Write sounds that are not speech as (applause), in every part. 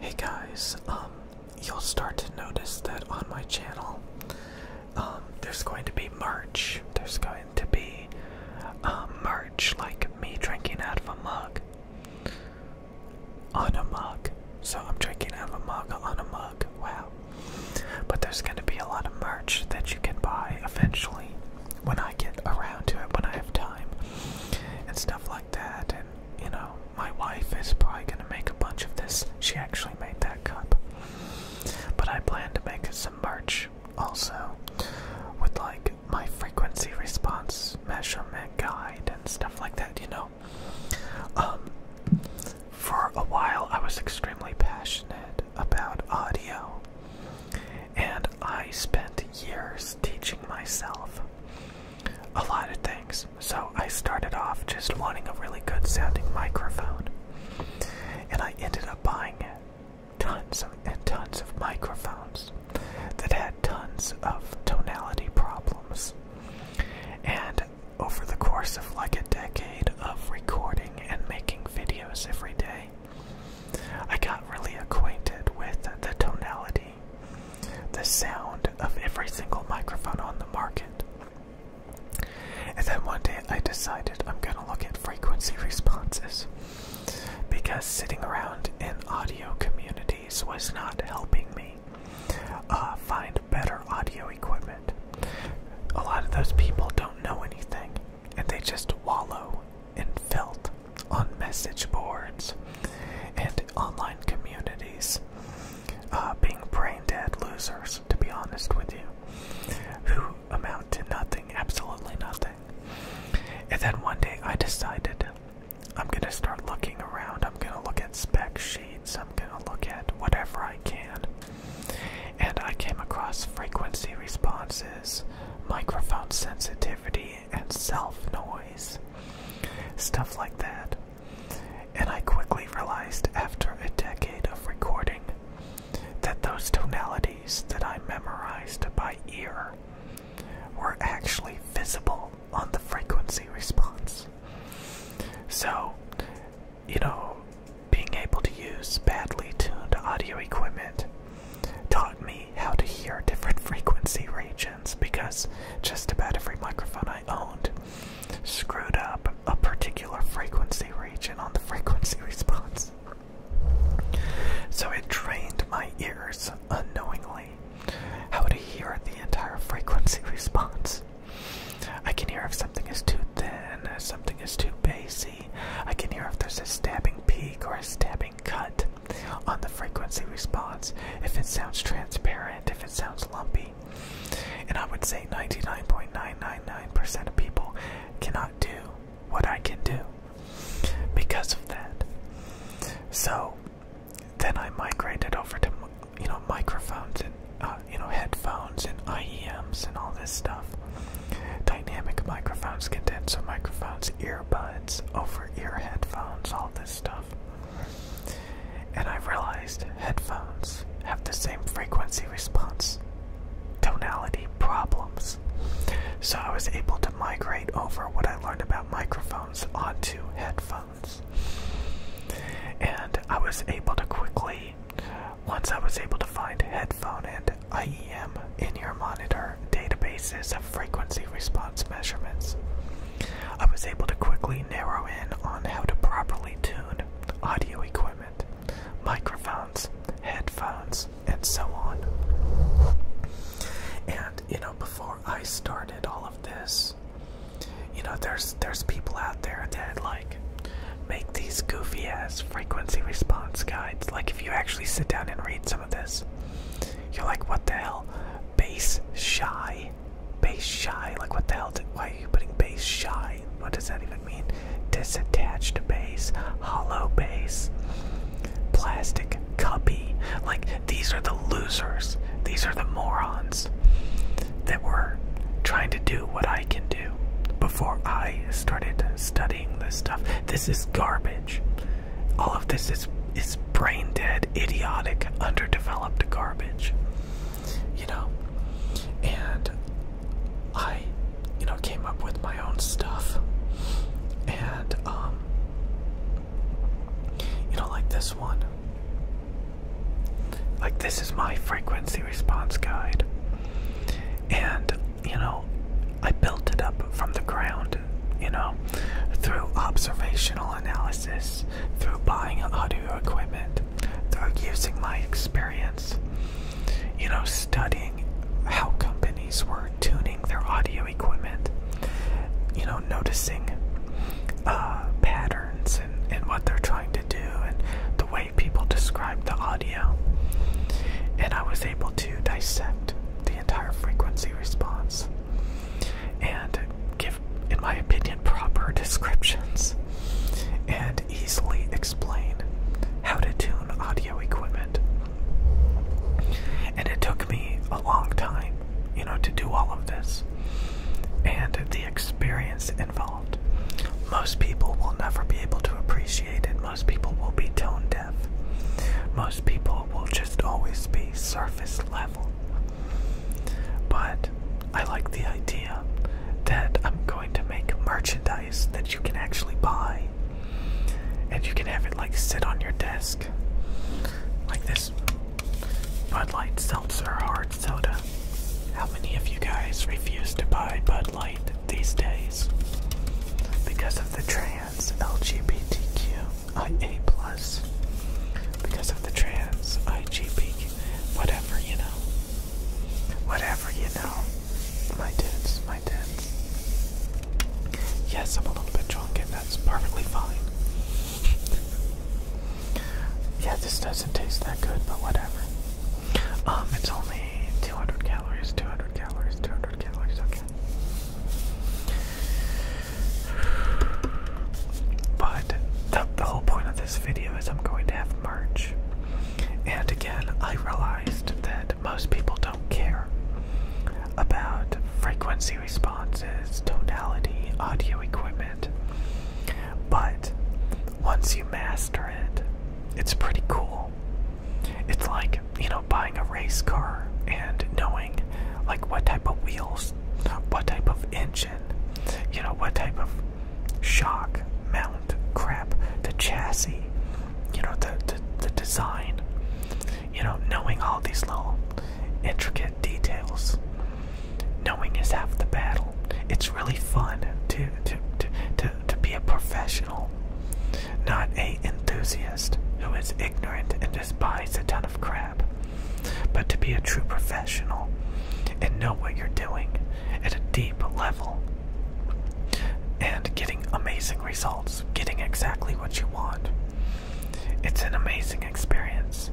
Hey guys, um, you'll start to notice that on my channel, um, there's going to be merch. There's going to be um, merch, like me drinking out of a mug. On a mug. So I'm drinking out of a mug on a mug. Wow. But there's going to be a lot of merch that you can buy eventually when I get around to it, when I have time, and stuff like that you know, my wife is probably going to make a bunch of this. She actually made that cup. But I plan to make some merch also with like my frequency response measurement guide and stuff like that, you know. Um, for a while, I was extremely passionate about audio, and I spent years teaching myself a lot of things. So I started off just wanting a really good sounding microphone, and I ended up buying tons and tons of microphones that had tons of tonality problems. And over the course of like a decade of recording and making videos every day, I got really acquainted with the tonality, the sound of every single microphone on the market. And then one day I decided I'm going to look at frequency responses because sitting around in audio communities was not helping me uh, find better audio equipment. A lot of those people don't know anything and they just wallow in filth on message boards and online communities, uh, being brain dead losers, to be honest with you, who amount to nothing, absolutely nothing. And then one day I decided I'm gonna start looking around, I'm gonna look at spec sheets, I'm gonna look at whatever I can. And I came across frequency responses microphone sensitivity, and self noise. Stuff like that. And I quickly realized after a decade of recording that those tonalities that I memorized by ear were actually visible on the frequency response. So, you know, being able to use badly tuned audio equipment taught me how to hear different frequency regions because just about every microphone I owned screwed up a particular frequency region on the frequency (laughs) response. So it trained my ears unknowingly how to hear the entire frequency (laughs) response. I can hear if something is too thin, if something is too bassy, I can hear if there's a stabbing peak or a stabbing cut on the frequency response, if it sounds transparent, if it sounds lumpy. And I would say 99.999% of people cannot do what I can do because of that. So then I migrated over to, you know, microphones and, uh, you know, headphones and IEMs and all this stuff. Dynamic microphones, condenser microphones, earbuds, over ear headphones, all this stuff. And I realized headphones have the same frequency response, tonality problems. So I was able to migrate over what I learned about microphones onto headphones. And I was able to quickly once I was able to find headphone and IEM in your monitor databases of frequency response measurements, I was able to quickly narrow in on how to properly tune audio equipment, microphones, headphones, and so on. And you know, before I started all of this, you know, there's there's people out there that like. Make these goofy ass frequency response guides. Like, if you actually sit down and read some of this, you're like, what the hell? Base shy? Base shy? Like, what the hell? why are you putting base shy? What does that even mean? Disattached base, hollow base, plastic cubby. Like, these are the losers. These are the morons that were trying to do what I can do before I started studying this stuff. This is garbage. All of this is is brain dead, idiotic, underdeveloped garbage. You know? And I, you know, came up with my own stuff. And um you know like this one. Like, this is my frequency response guide. And, you know, I built it up from the ground, you know, through observational analysis, through buying audio equipment, through using my experience, you know, studying how companies were tuning their audio equipment, you know, noticing uh, patterns and, and what they're trying to do and the way people describe the audio. And I was able to dissect the entire frequency response and give, in my opinion, proper (laughs) descriptions and easily explain how to tune audio equipment. And it took me a long time you know, to do all of this and the experience involved. Most people will never be able to appreciate it. Most people will be tone deaf. Most people will just always be surface level. But I like the idea that I'm going to make merchandise that you can actually buy. And you can have it like sit on your desk. Like this Bud Light Seltzer Hard Soda. How many of you guys refuse to buy Bud Light these days? Because of the trans LGBTQIA, because of the trans IGB, whatever you know. Whatever you know. My tits, my tits. Yes, I'm a little bit drunk, and that's perfectly fine yeah, this doesn't taste that good, but whatever. Um, it's only 200 calories, 200 calories, 200 calories, okay. But the, the whole point of this video is I'm going to have merch. And again, I realized that most people don't care about frequency responses, tonality, audio equipment. But once you master it, it's pretty cool. It's like, you know, buying a race car and knowing like what type of wheels, what type of engine, you know, what type of shock, mount, crap, the chassis, you know, the, the design you know, knowing all these little intricate details, knowing is half the battle. It's really fun to to to to, to be a professional, not a enthusiast who is ignorant and just a ton of crap. But to be a true professional and know what you're doing at a deep level and getting amazing results, getting exactly what you want. It's an amazing experience.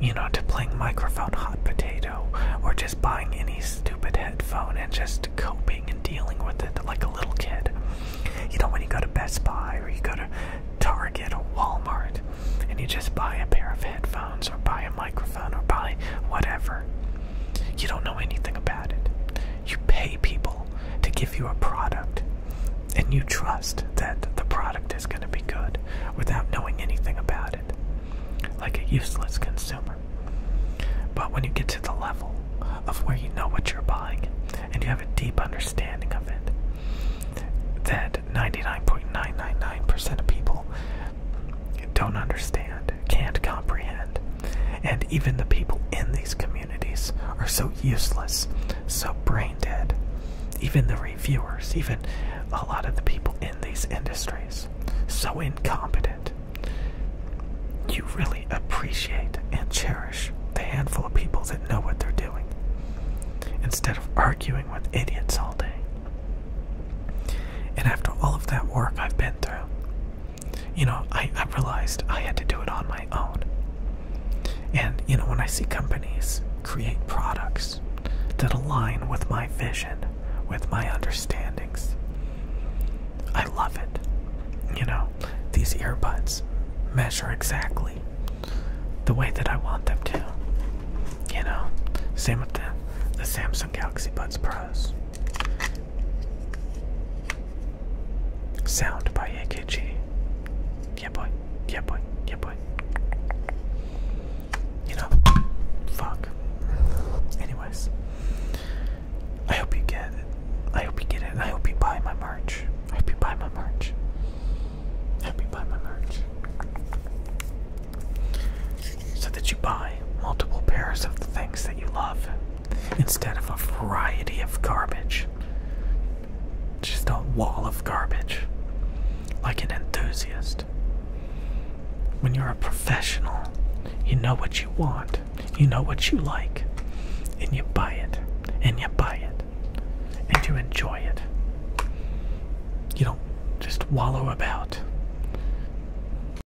You know, to playing microphone hot potato or just buying any stupid headphone and just coping and dealing with it like a little kid. You know, when you go to Best Buy or you go to Target or Walmart and you just buy a pair of headphones or buy a microphone or buy whatever, you don't know anything about it. You pay people to give you a product and you trust that the product is going to be good without knowing anything about it, like a useless consumer. But when you get to the level of where you know what you're buying and you have a deep understanding of it, that 99.999% of people don't understand, can't comprehend, and even the people in these communities are so useless, so brain dead. Even the reviewers, even a lot of the people in these industries, so incompetent. You really appreciate and cherish the handful of people that know what they're doing instead of arguing with idiots all day. And after all of that work I've been through, you know, I, I realized I had to do it on my own. And, you know, when I see companies create products that align with my vision, with my understandings, I love it. You know, these earbuds measure exactly the way that I want them to. You know, same with the, the Samsung Galaxy Buds Pros. Sound by AKG. Yeah, boy. Yeah, boy. Yeah, boy. You know, fuck. Anyways, I hope you get it. I hope you get it. I hope you buy my merch. I hope you buy my merch. I hope you buy my merch. So that you buy multiple pairs of the things that you love instead of a variety of garbage. Just a wall of garbage. Like an enthusiast. When you're a professional, you know what you want, you know what you like, and you buy it, and you buy it, and you enjoy it. You don't just wallow about.